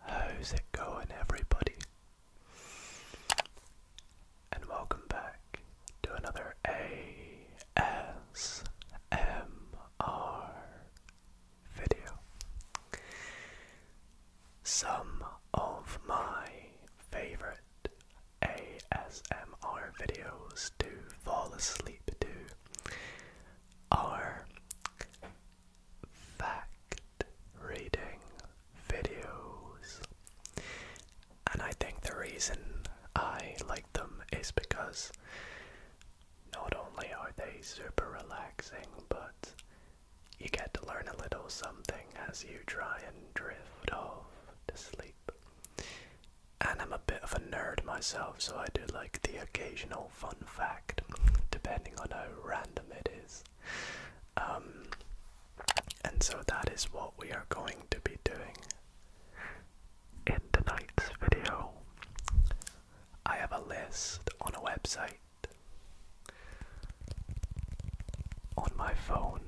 How's it going, everybody? And welcome back to another ASMR video. Some of my favorite ASMR videos to fall asleep to are fact reading videos. And I think the reason I like them is because not only are they super relaxing, but you get to learn a little something as you try and drift off to sleep. And I'm a bit of a nerd myself, so I do like the occasional fun fact, depending on how random it is. Um, and so that is what we are going to be doing in tonight's video. I have a list on a website on my phone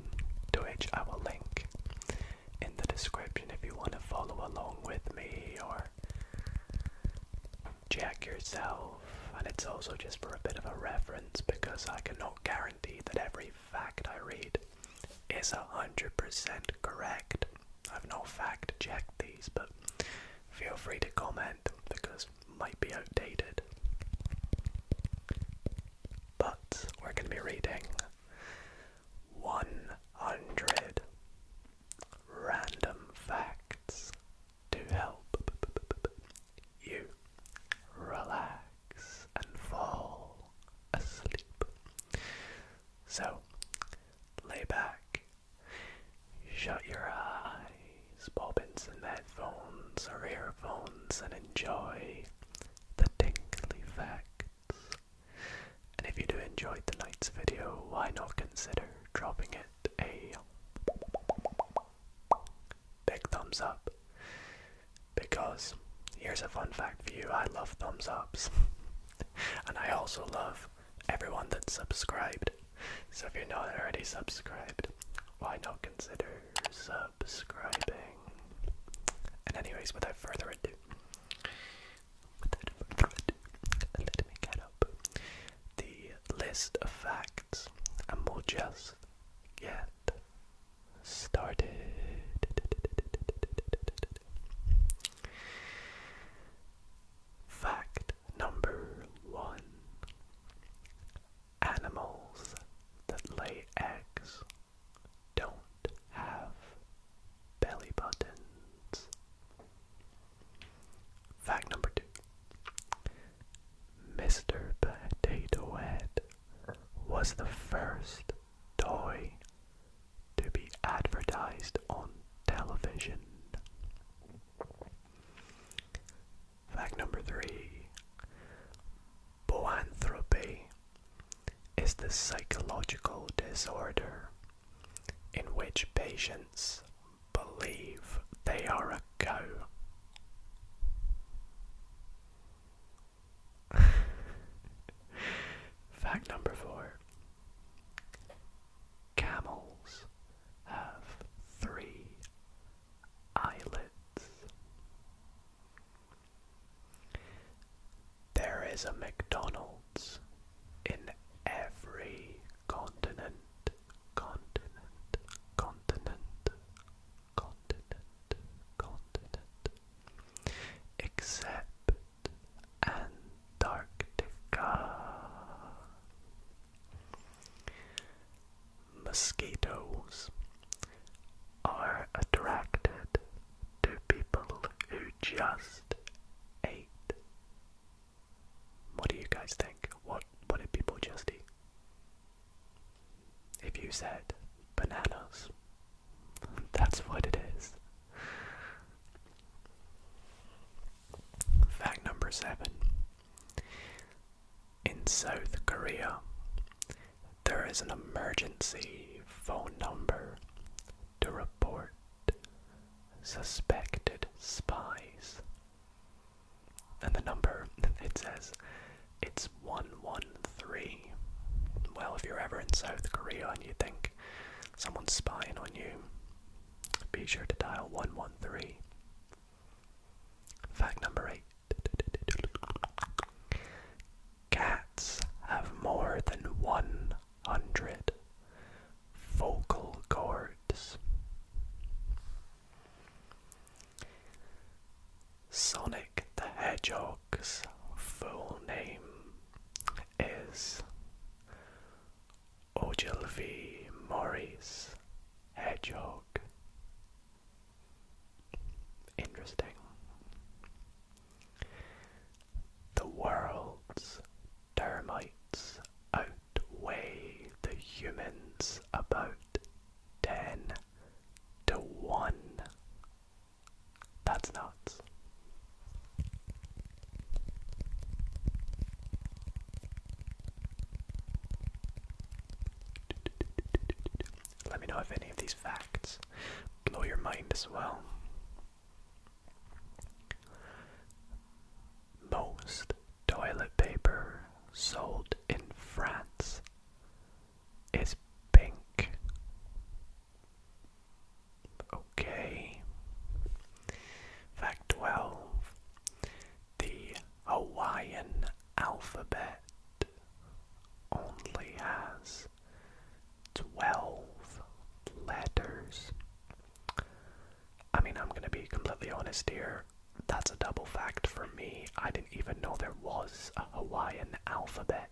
to which I will link in the description if you want to follow along with me or check yourself, and it's also just for a bit of a reference because I cannot guarantee that every fact I read is 100% correct. I've no fact checked these, but feel free to comment because might be outdated. But we're going to be reading 100 random facts to help you relax and fall asleep. So, lay back, shut your eyes, pop in some headphones or earphones, and enjoy the tingly facts. And if you do enjoy the night's video, why not consider dropping it a big thumbs up because here's a fun fact for you I love thumbs ups and I also love everyone that's subscribed. So if you're not already subscribed, why not consider subscribing? And anyways, without further ado, without further ado, let me get up the list of facts and we'll just get started. Fact number one Animals that lay eggs don't have belly buttons. Fact number two Mr. Potato Head was the first toy to be advertised on television. Fact number three Boanthropy is the psychological disorder in which patients believe they are a go. Fact number four Camels have three eyelids. There is a McDonald's in every continent continent, continent, continent, continent, except Antarctica. Mosquitoes are attracted to people who just ate what do you guys think? What would it be, just If you said bananas, that's what it is. Fact number seven. In South Korea, there is an emergency phone number to report suspected spies and the number, it says it's 113. Well, if you're ever in South Korea and you think someone's spying on you, be sure to dial 113. Fact number 8. Cats have more than 100 vocal cords. Sonic the Hedgehog's full name is Ogilvy Morris Hedgehog. Interesting. The world's termites outweigh the humans about 10 to 1. That's nuts. Let me know if any of these facts blow your mind as well most toilet paper sold in France is pink. Okay. Fact 12. The Hawaiian alphabet only has 12 letters. I mean, I'm going to be completely honest here. That's a double fact for me. I didn't even know there was a Hawaiian alphabet,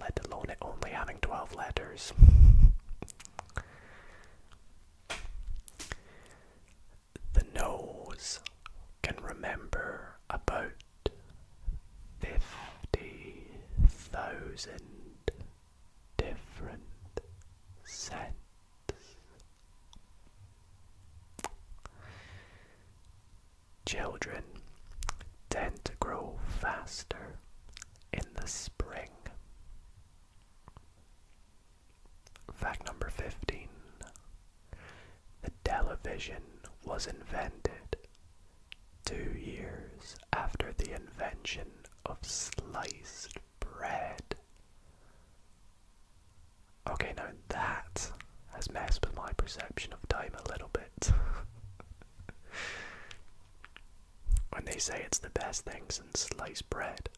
let alone it only having 12 letters. the nose can remember about 50,000 different scents Children tend to grow faster in the spring. Fact number 15. The television was invented two years after the invention of sliced bread. Okay, now that has messed with my perception of time a little bit. when they say it's the best things in sliced bread.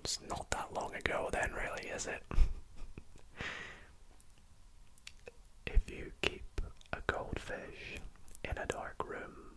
It's not that long ago, then, really, is it? if you keep a goldfish in a dark room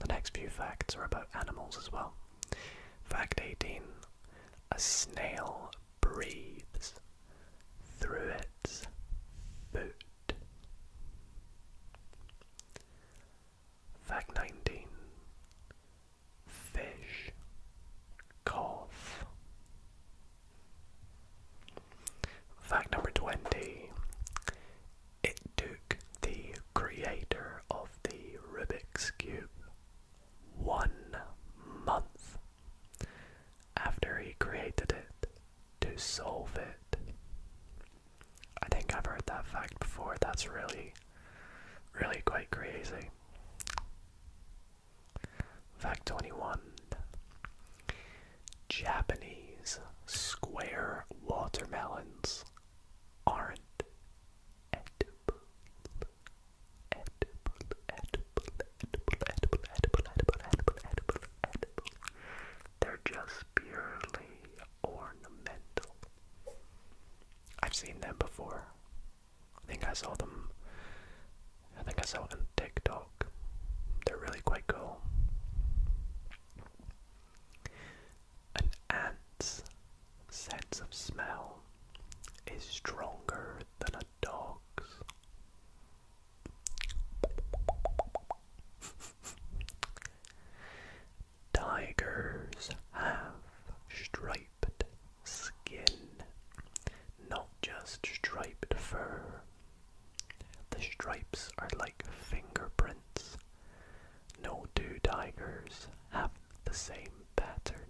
The next few facts are about animals as well. Fact 18 A snail breathes through its foot. Fact 19 Fish cough. Fact number 20 it took the creator of the Rubik's Cube one month after he created it to solve it. I think I've heard that fact before. That's really, really quite crazy. Fact 21. Japanese square watermelons aren't edible. They're just purely ornamental. I've seen them before. I think I saw them. I think I saw it TikTok. They're really quite cool. An ant's sense of smell is stronger than a dog's. Tigers have striped skin, not just striped fur. The stripes are like fingerprints no two tigers have the same pattern.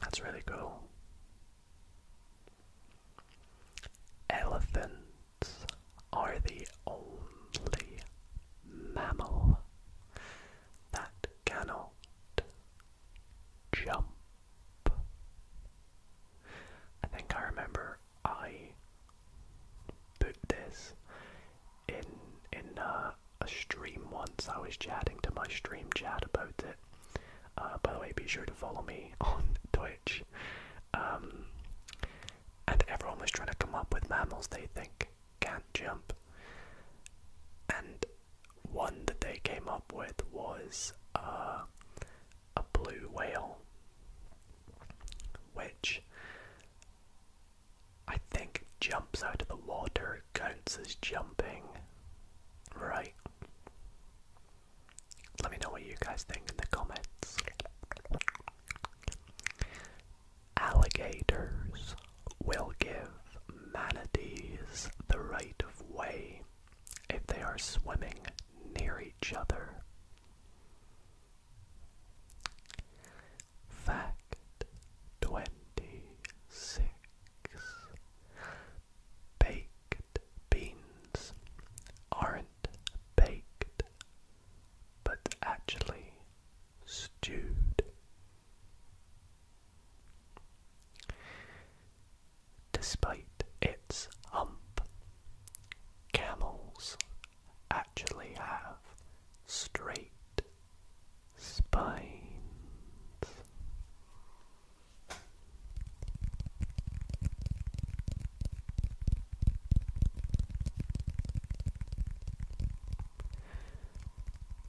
That's really cool. Elephants are the only mammal that cannot jump. I think I remember I put this in in uh, a stream once. I was chatting to my stream chat about it. Uh, by the way, be sure to follow me on Twitch. Um, and everyone was trying to come up with mammals they think can't jump. And one that they came up with was uh, a blue whale, which I think jumps out of the water, counts as jumping, right? Let me know what you guys think in the comments. Alligators will give manatees the right of way if they are swimming near each other Fact twenty six Baked beans aren't baked but actually stewed. Despite its hump, camels actually have straight spines.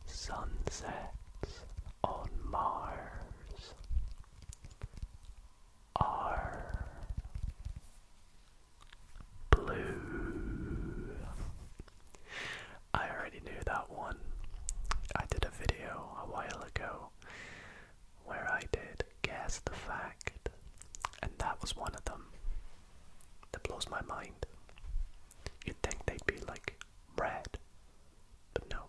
Sunsets on Mars are blue. I already knew that one. I did a video a while ago where I did guess the fact, and that was one of them. That blows my mind. You'd think they'd be like red, but no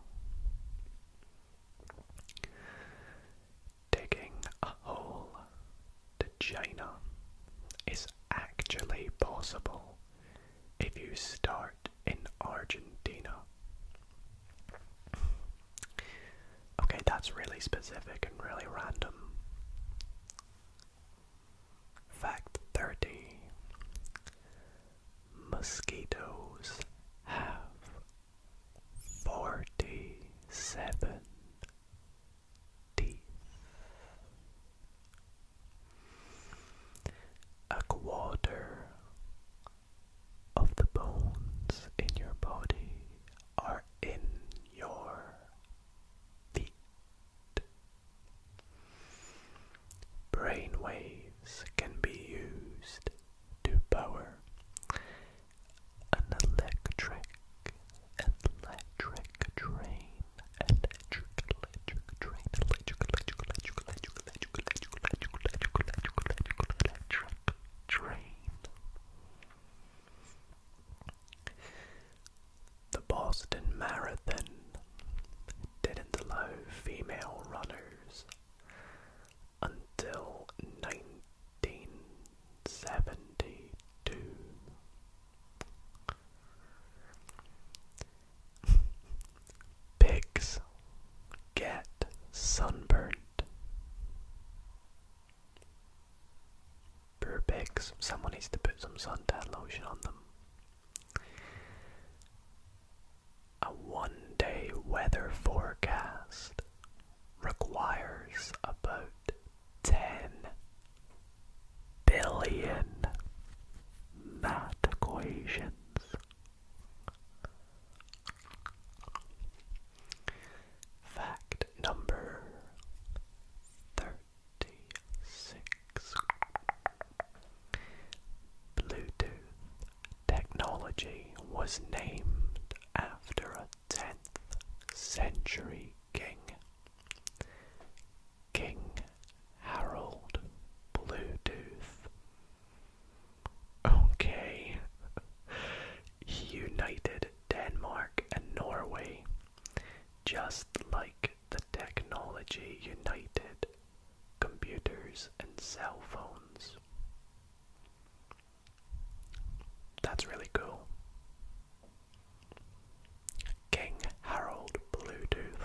digging a hole to China is actually possible if you start in Argentina. Okay, that's really specific and really random. Fact 30 Mosquitoes have 47 a quarter of the bones in your body are in your feet. Brain waves can be used to power an electric, electric train, electric, electric train, electric, electric, electric, electric, electric, electric, electric, electric, train. The Boston Marathon didn't allow female runners until 19 1972. Pigs get sunburnt. Poor pigs. Someone needs to put some suntan lotion on them. A one day weather forecast requires about 10 billion math equations. Fact number 36 Bluetooth technology was named after a 10th century king. King Harold Bluetooth. Okay. He united Denmark and Norway, just like the technology united computers and cell phones. That's really cool. King Harold Bluetooth.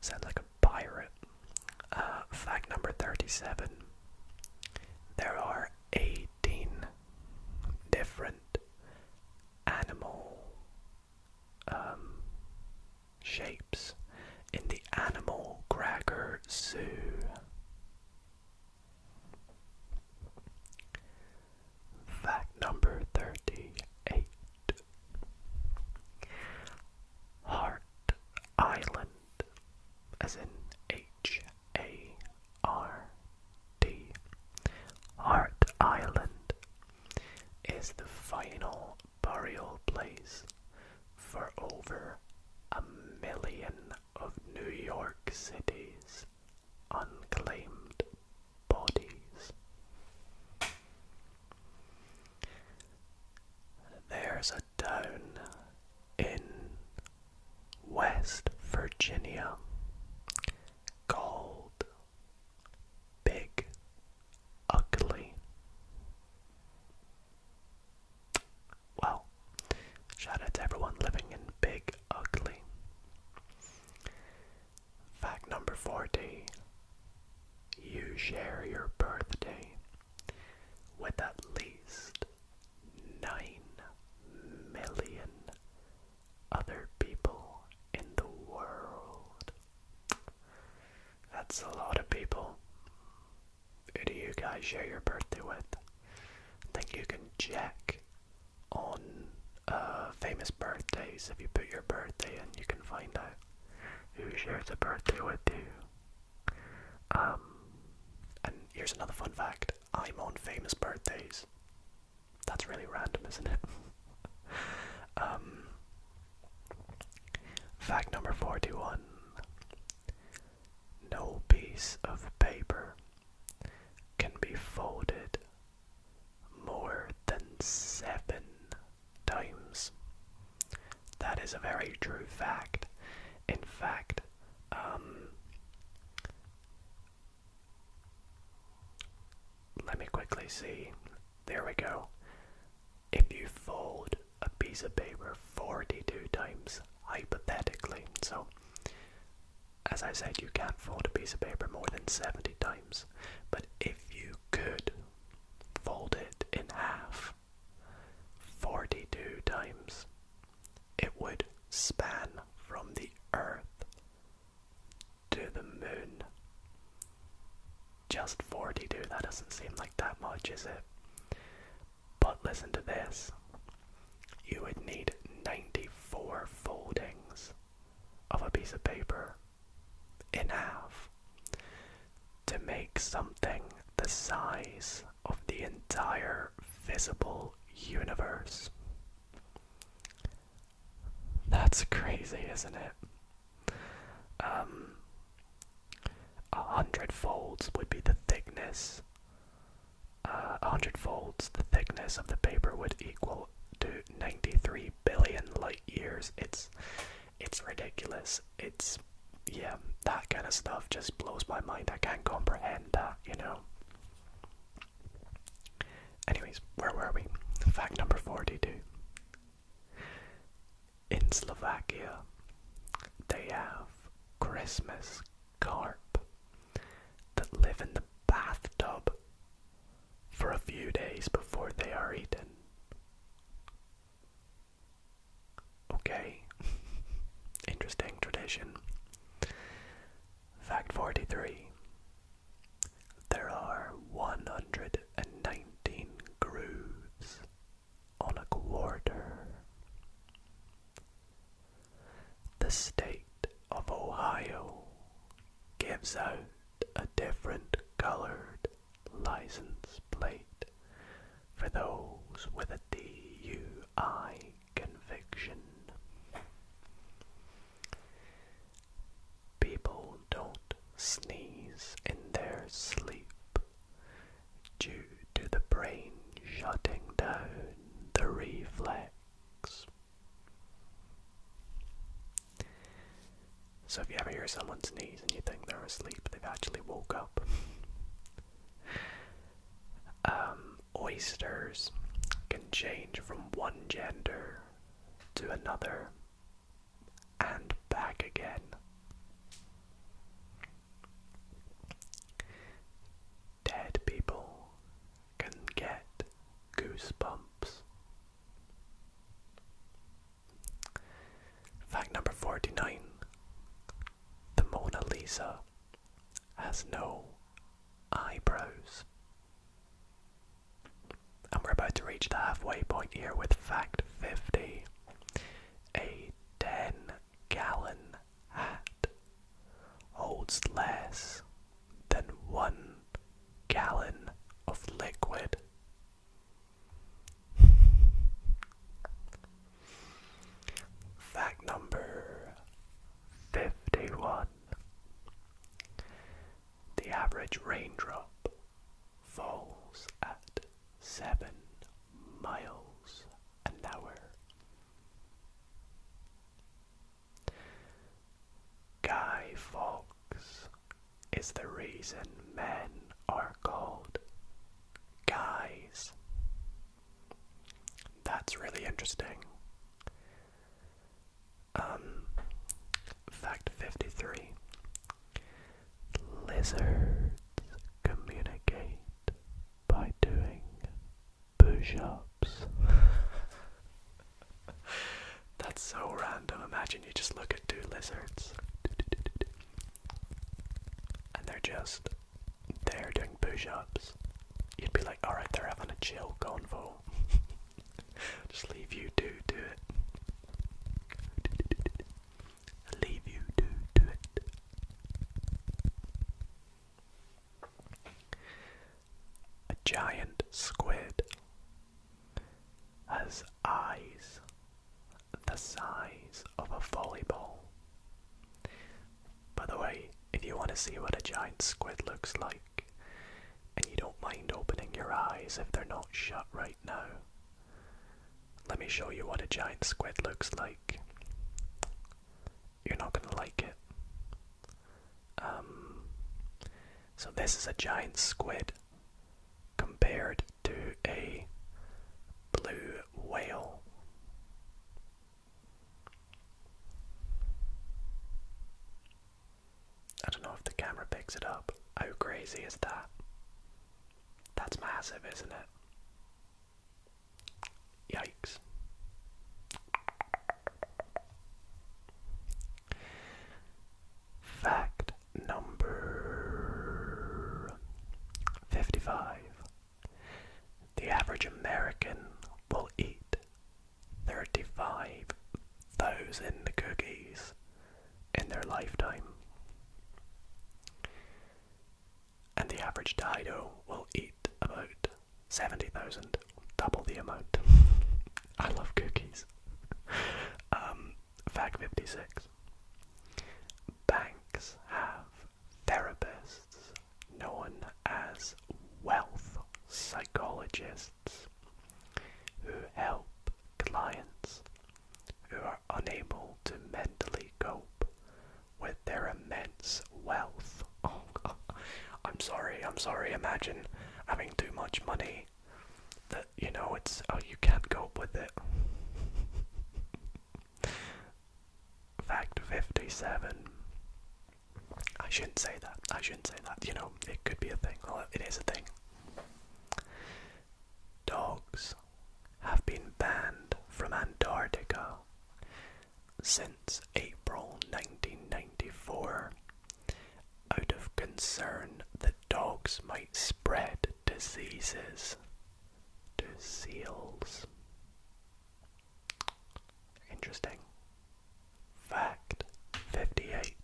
Sounds like a pirate. Uh, fact number 37. There are 18 different animal um, shapes in the Animal Cracker Zoo. Fact number 38 Heart Island, as in H A R D. Heart Island is the final burial place for over a million of New York City's unclaimed bodies. There's a town in West Virginia called Big Ugly well, shout out to everyone living in Big Ugly. Fact number 40 You share your birthday with at least 9 million other people in the world. That's a lot of people. Who do you guys share your birthday with? I think you can check on uh, famous birthdays if you put your birthday in, you can find out who shares a birthday with you. Um, and here's another fun fact I'm on famous birthdays. That's really random, isn't it? um, fact number 41 no piece of paper can be folded more than seven times. That is a very true fact. In fact, um, let me quickly see. There we go. If you fold a piece of paper 42 times, hypothetically. So, as I said, you can't fold a piece of paper more than 70 times, but if you could fold it in half 42 times, it would span from the Earth to the moon. Just 42, that doesn't seem like that much, is it? But listen to this you would need 94 foldings of a piece of paper in half to make something the size of the entire visible universe. That's crazy, isn't it? Um, a hundred folds would be the thickness uh, 100 folds the thickness of the paper would equal to 93 billion light years it's it's ridiculous it's yeah that kind of stuff just blows my mind i can't comprehend that you know anyways where were we fact number 42 in slovakia they have christmas carp that live in the bathtub for a few days before they are eaten. Okay, interesting tradition. Fact 43 There are 119 grooves on a quarter. The state of Ohio gives out a different colored license plate for those with a DUI conviction. People don't sneeze in their sleep due to the brain shutting down the reflex. So if you ever hear someone sneeze and you think they're asleep, they've actually woke up. Um, oysters can change from one gender to another and back again dead people can get goosebumps. Fact number 49 The Mona Lisa has no eyebrows. And we're about to reach the halfway point here with fact 50 gallon hat holds less than one gallon of liquid. Fact number 51. The average raindrop falls at 7 miles an hour. Guy Fawkes is the reason men are called guys. That's really interesting. Um, fact 53 Lizards communicate by doing push ups. That's so random. Imagine you just look at two lizards and they're just they're doing push ups. You'd be like, alright, they're having a chill convo. just leave you two do it. Leave you two to it. A giant squid has eyes the size of a volleyball. By the way, if you want to see what a giant squid looks like, and you don't mind opening your eyes if they're not shut right now, let me show you what a giant squid looks like you're not gonna like it. Um, so this is a giant squid compared to a blue whale. I don't know if the camera picks it up. How crazy is that? That's massive, isn't it? Yikes. Fact number 55. The average American will eat 35,000 cookies in their lifetime. And the average Dido will eat about 70,000, double the amount. I love cookies. Um, fact 56. Banks have therapists known as wealth psychologists who help clients who are unable to mentally cope with their immense wealth. Oh, I'm sorry, I'm sorry. Imagine having too much money that you know it's oh, you can't cope with it. Fact 57. I shouldn't say that. I shouldn't say that. You know, it could be a thing. Well, it is a thing. Dogs have been banned from Antarctica since April 1994 out of concern that dogs might spread diseases to seals. Interesting. Fact 58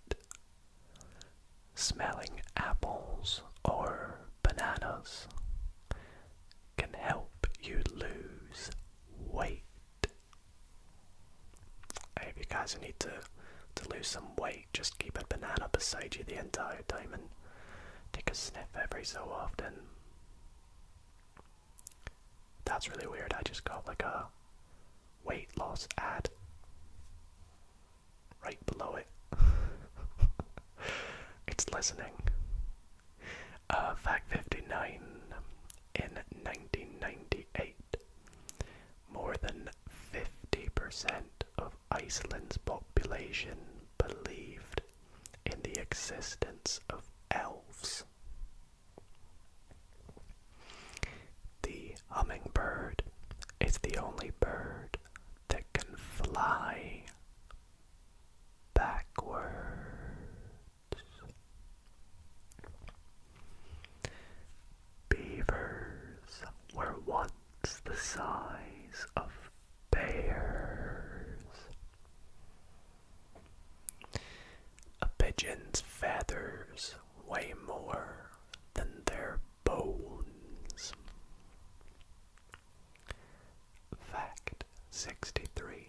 Smelling apples or bananas can help you lose weight. Hey, if you guys need to to lose some weight, just keep a banana beside you the entire time and take a sniff every so often. That's really weird. I just got like a weight loss ad right below it. it's listening. Uh, fact 59. In 1998, more than 50% of Iceland's population believed in the existence of elves. The hummingbird is the only bird that can fly backwards. Beavers were once the size of bears. A pigeon's feathers weigh more than their bones. Fact 63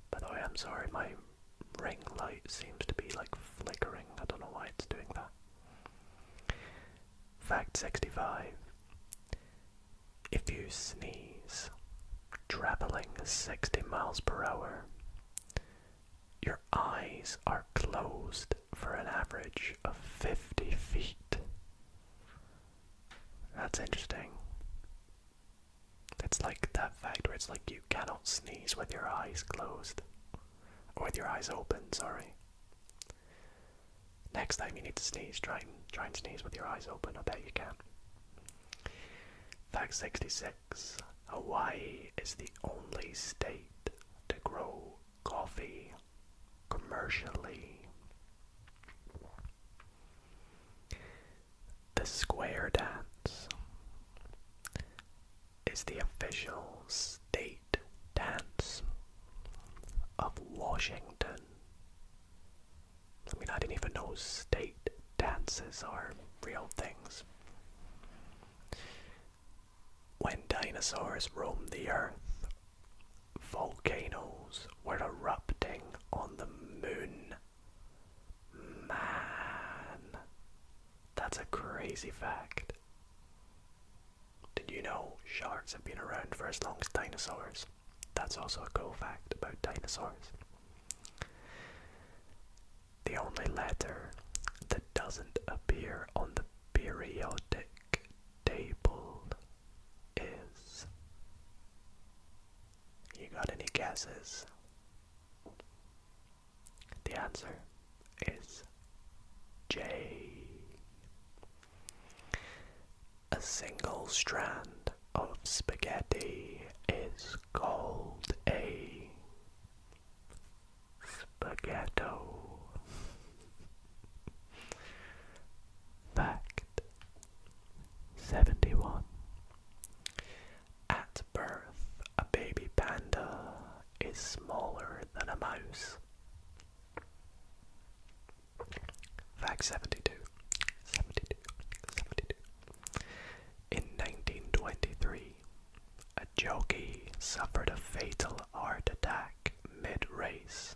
By the way, I'm sorry, my ring light seems to be like flickering. I don't know why it's doing that. Fact 65. If you sneeze, traveling 60 miles per hour, your eyes are closed for an average of 50 feet. That's interesting. It's like that fact where it's like you cannot sneeze with your eyes closed. Or with your eyes open, sorry. Next time you need to sneeze, try and, try and sneeze with your eyes open. I bet you can. Fact 66 Hawaii is the only state to grow coffee commercially. The square dance is the official state dance of Washington. I mean, I didn't even know state dances are real things. When dinosaurs roamed the earth, volcanoes were erupting on the moon. Man, that's a crazy fact. Did you know sharks have been around for as long as dinosaurs? That's also a cool fact about dinosaurs. The only letter that doesn't appear on the periodic table is. You got any guesses the answer is J. A single strand of spaghetti is called a spaghetto. Fact 71. At birth, a baby panda is smaller than a mouse. Fact 72. In 1923, a jockey suffered a fatal heart attack mid race.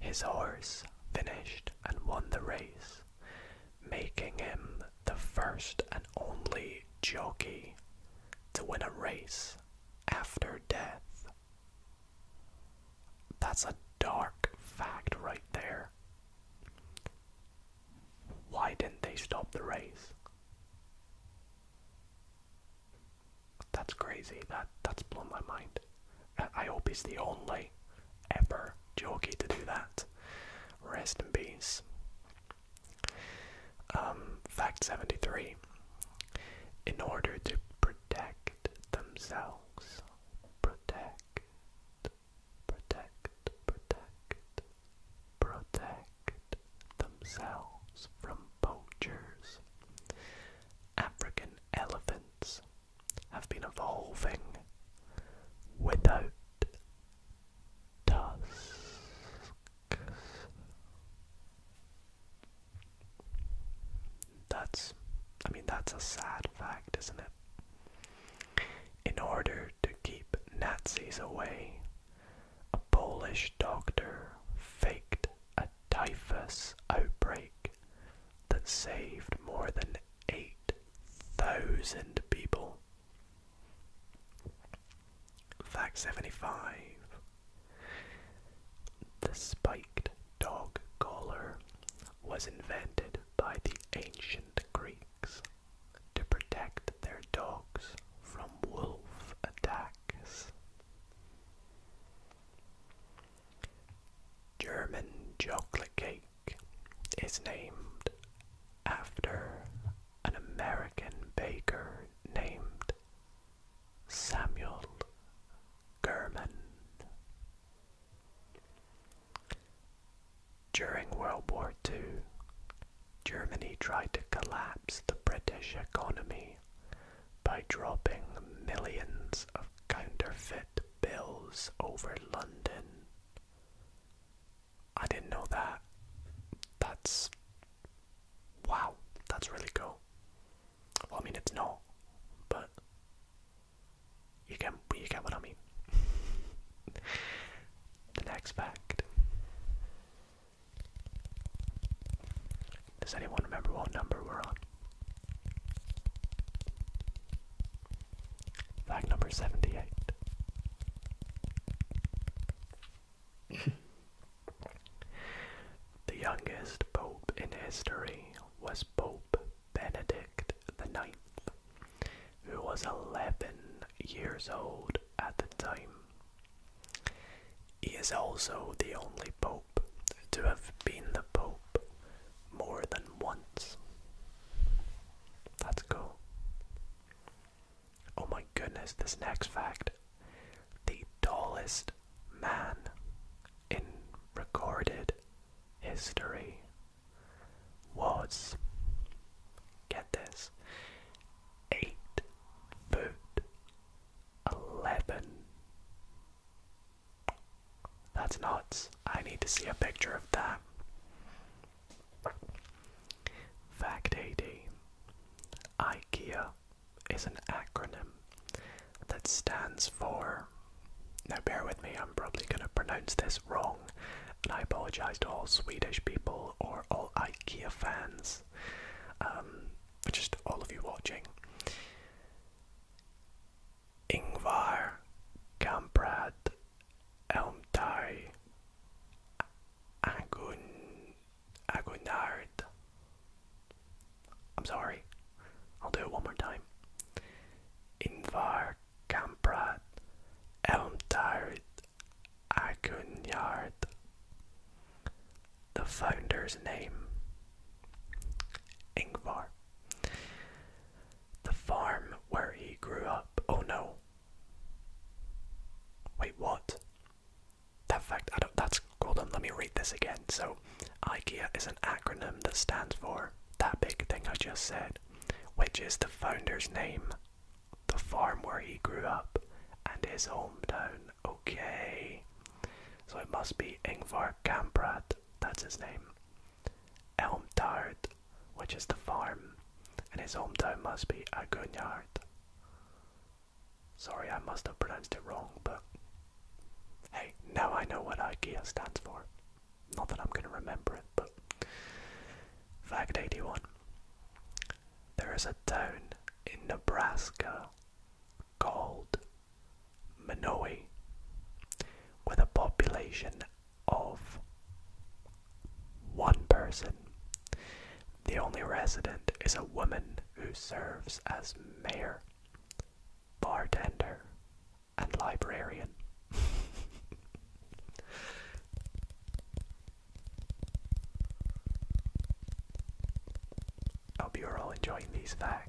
His horse finished and won the race, making him the first and only jockey to win a race after death. That's a dark fact right there. Why didn't they stop the race? That's crazy. That that's blown my mind. I hope he's the only ever Jockey to do that. Rest in peace. Um, fact 73. In order to protect themselves, protect, protect, protect, protect themselves from poachers, African elephants have been evolving without tusks. That's, I mean, that's a sad fact, isn't it? In order to keep Nazis away, a Polish doctor faked a typhus outbreak that saved more than eight thousand people. Fact 75 The spiked dog collar was invented by the ancient Greeks to protect their dogs from wolf attacks. German chocolate cake is named after an American baker named Samuel Gurman. During World War II, Germany tried to collapse the British economy by dropping millions of counterfeit bills over London. I didn't know that. That's wow, that's really cool. Well, I mean it's not, but you get you get what I mean. the next fact. Does anyone remember what number we're on? Fact number 78. the youngest pope in history was Pope Benedict IX, who was 11 years old at the time. He is also the only pope to have been the pope more than once. That's cool. Oh my goodness, this next fact. The tallest man in recorded history was, get this, 8 foot 11. That's nuts. I need to see a picture of that. Fact 80 IKEA is an acronym that stands for. Now, bear with me, I'm probably going to pronounce this wrong, and I apologise to all Swedish people or all IKEA fans, um, just all of you watching. Ingvar Kamprad Elmdai Agun Agunard. I'm sorry. I'll do it one more time. Invar Kamprad Elmdard Agunyard. The founder's name Ingvar. The farm where he grew up. Oh no, Wait, what? That fact, that's, hold on, let me read this again. So, IKEA is an acronym that stands for that big thing I just said, which is the founder's name, the farm where he grew up, and his hometown. Okay. So it must be Ingvar Kamprad, that's his name. Elmtard, which is the farm, and his hometown must be Agunyard. Sorry, I must have pronounced it wrong, but hey, now I know what IKEA stands for. Not that I'm going to remember it, but. Fact 81 There is a town in Nebraska called Minoe with a population of one person. The only resident is a woman who serves as mayor, bartender, and librarian. hope you're all enjoying these facts.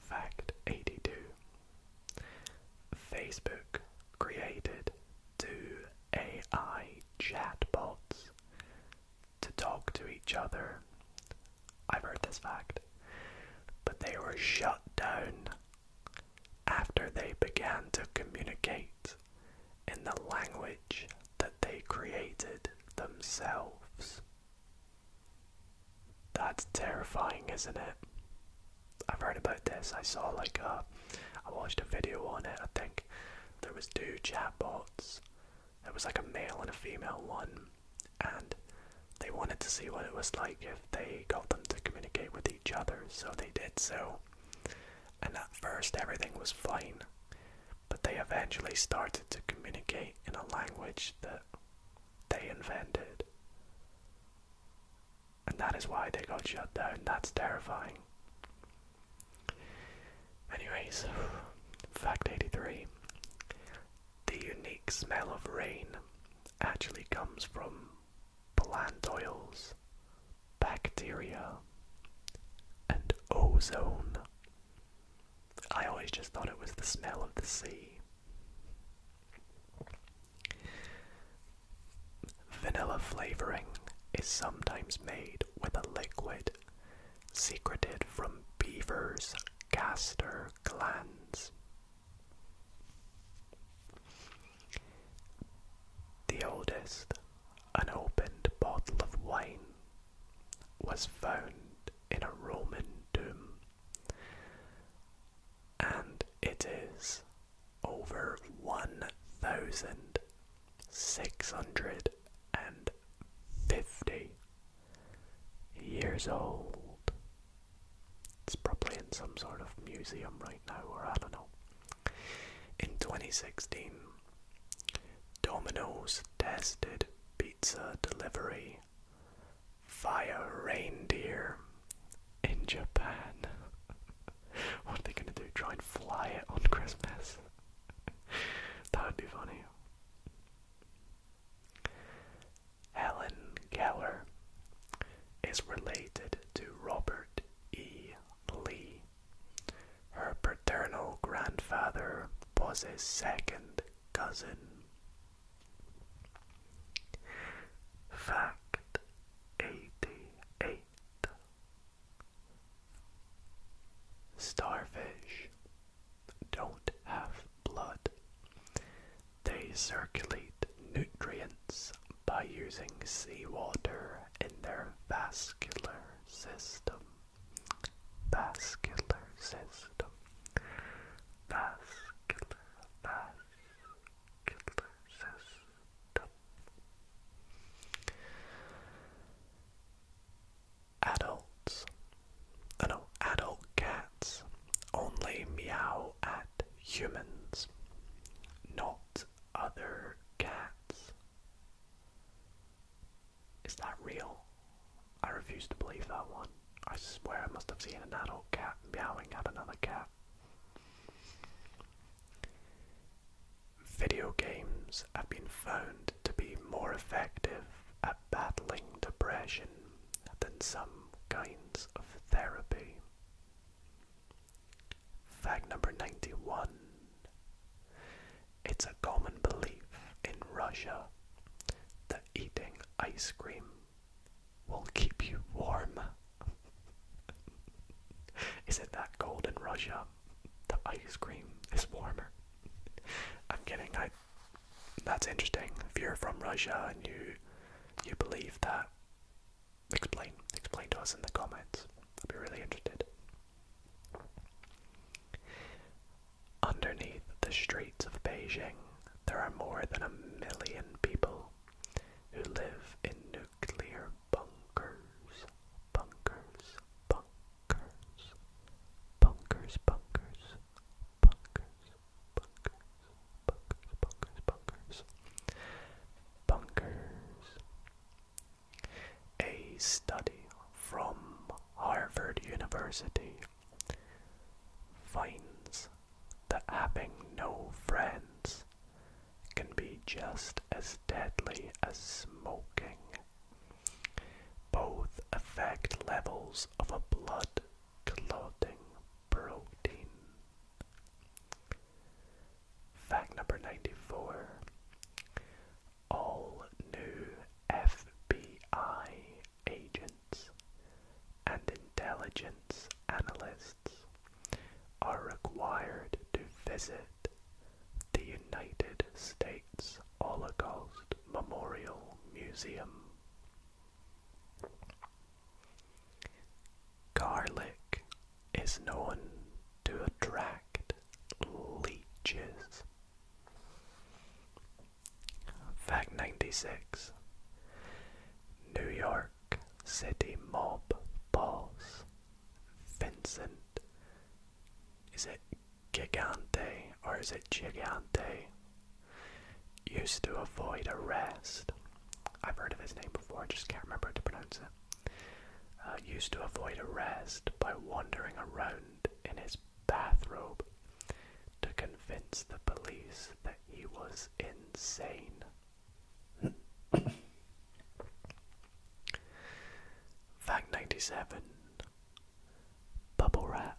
Fact 82 Facebook created two AI chatbots to talk to each other. I've heard this fact, but they were shut down after they began to communicate in the language that they created themselves. That's terrifying, isn't it? I've heard about this. I saw like a, uh, I watched a video on it. I think there was two chatbots. It was like a male and a female one, and they wanted to see what it was like if they got them to communicate with each other. So they did so, and at first everything was fine, but they eventually started to communicate in a language that they invented. And that is why they got shut down. That's terrifying. Anyways, fact 83 the unique smell of rain actually comes from plant oils, bacteria, and ozone. I always just thought it was the smell of the sea. Vanilla flavoring is sometimes made with a liquid secreted from beavers' gaster glands. The oldest unopened bottle of wine was found in a Roman tomb and it is over 1,650 years old. It's probably in some sort of museum right now, or I don't know. In 2016, Domino's tested pizza delivery via reindeer in Japan. what are they gonna do? Try and fly it on Christmas? that would be funny. Helen Keller is related to Robert E. Lee. Her paternal grandfather was his second cousin. Fact 88 Starfish don't have blood. They circulate nutrients by using seawater in their vascular system. Vascular system vascular, vascular system. Adults, uh, no, adult cats only meow at humans, not other cats. Is that real? I refuse to believe that one. I swear I must have seen an adult cat meowing at another cat. Video games have been found to be more effective at battling depression than some kinds of therapy. Fact number 91 It's a common belief in Russia that eating ice cream will keep you warm. is it that Golden in Russia? The ice cream is warmer. I'm kidding. I. That's interesting. If you're from Russia and you you believe that, explain explain to us in the comments. I'd be really interested. Underneath the streets of Beijing, there are more than a million people who live in nuclear bunkers, bunkers, bunkers, bunkers, bunkers, bunkers, bunkers, bunkers, bunkers, bunkers, bunkers. A study from Harvard University finds that having no friends can be just as deadly as smoking. Both affect levels of a blood clotting protein. Fact number 94 All new FBI agents and intelligence analysts are required to visit the United States Holocaust Memorial Museum. Garlic is known to attract leeches. Fact 96 New York City mob boss Vincent. Is it Gigante or is it Gigante? Used to avoid arrest. I've heard of his name before, I just can't remember how to pronounce it. Uh, used to avoid arrest by wandering around in his bathrobe to convince the police that he was insane. Fact 97 Bubble Wrap.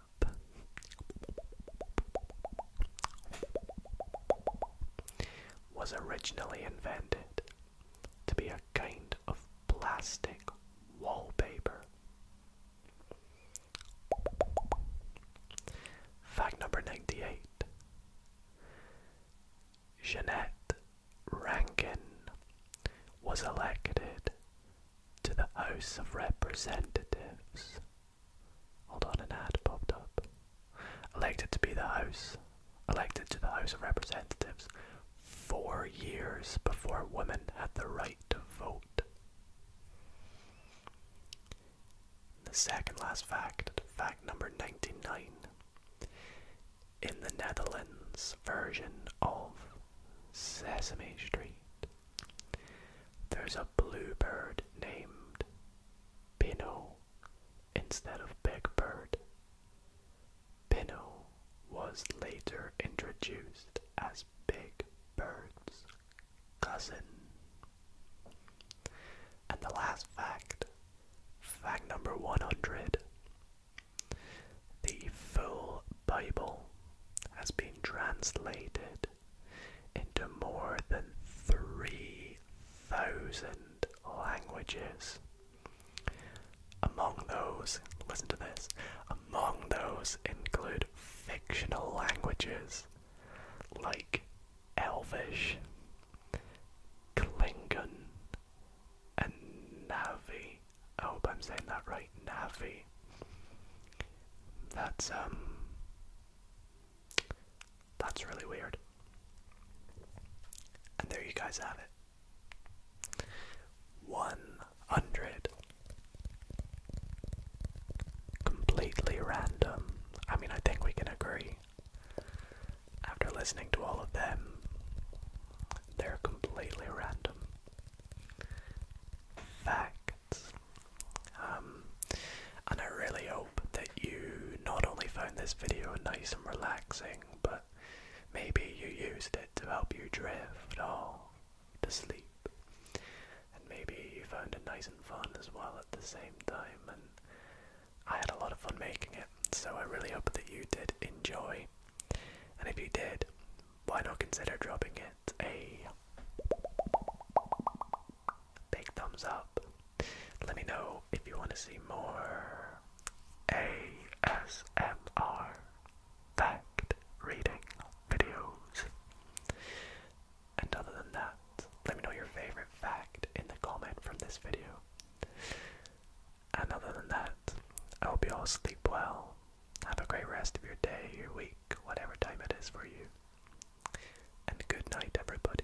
Was originally invented to be a kind of plastic wallpaper. Fact number 98 Jeanette Rankin was elected to the House of Representatives. Hold on, an ad popped up. Elected to be the House, elected to the House of Representatives four years before women had the right to vote. The second last fact, fact number 99. In the Netherlands version of Sesame Street, there's a blue bird named Pinot instead of Big Bird. Pinot was later introduced as Big Bird's cousin. And the last fact, fact number 100 the full Bible has been translated into more than 3,000 languages. Among those, listen to this, among those include fictional languages like Elvish, Klingon, and Navi. I oh, hope I'm saying that right, Navi. That's um that's really weird. And there you guys have it. 100 completely random. I mean, I think we can agree. After listening to all of them, they're completely random. Facts. Um, and I really hope that you not only found this video nice and relaxing, but maybe you used it to help you drift off oh, to sleep. And maybe you found it nice and fun as well at the same time. And I had a lot of fun making it, so I really hope that you did enjoy. And if you did, why not consider dropping it a big thumbs up? Let me know if you want to see more ASMR fact reading videos. And other than that, let me know your favorite fact in the comment from this video. And other than that, I hope you all sleep well. Have a great rest of your day, your week, whatever time it is for you. And good night, everybody.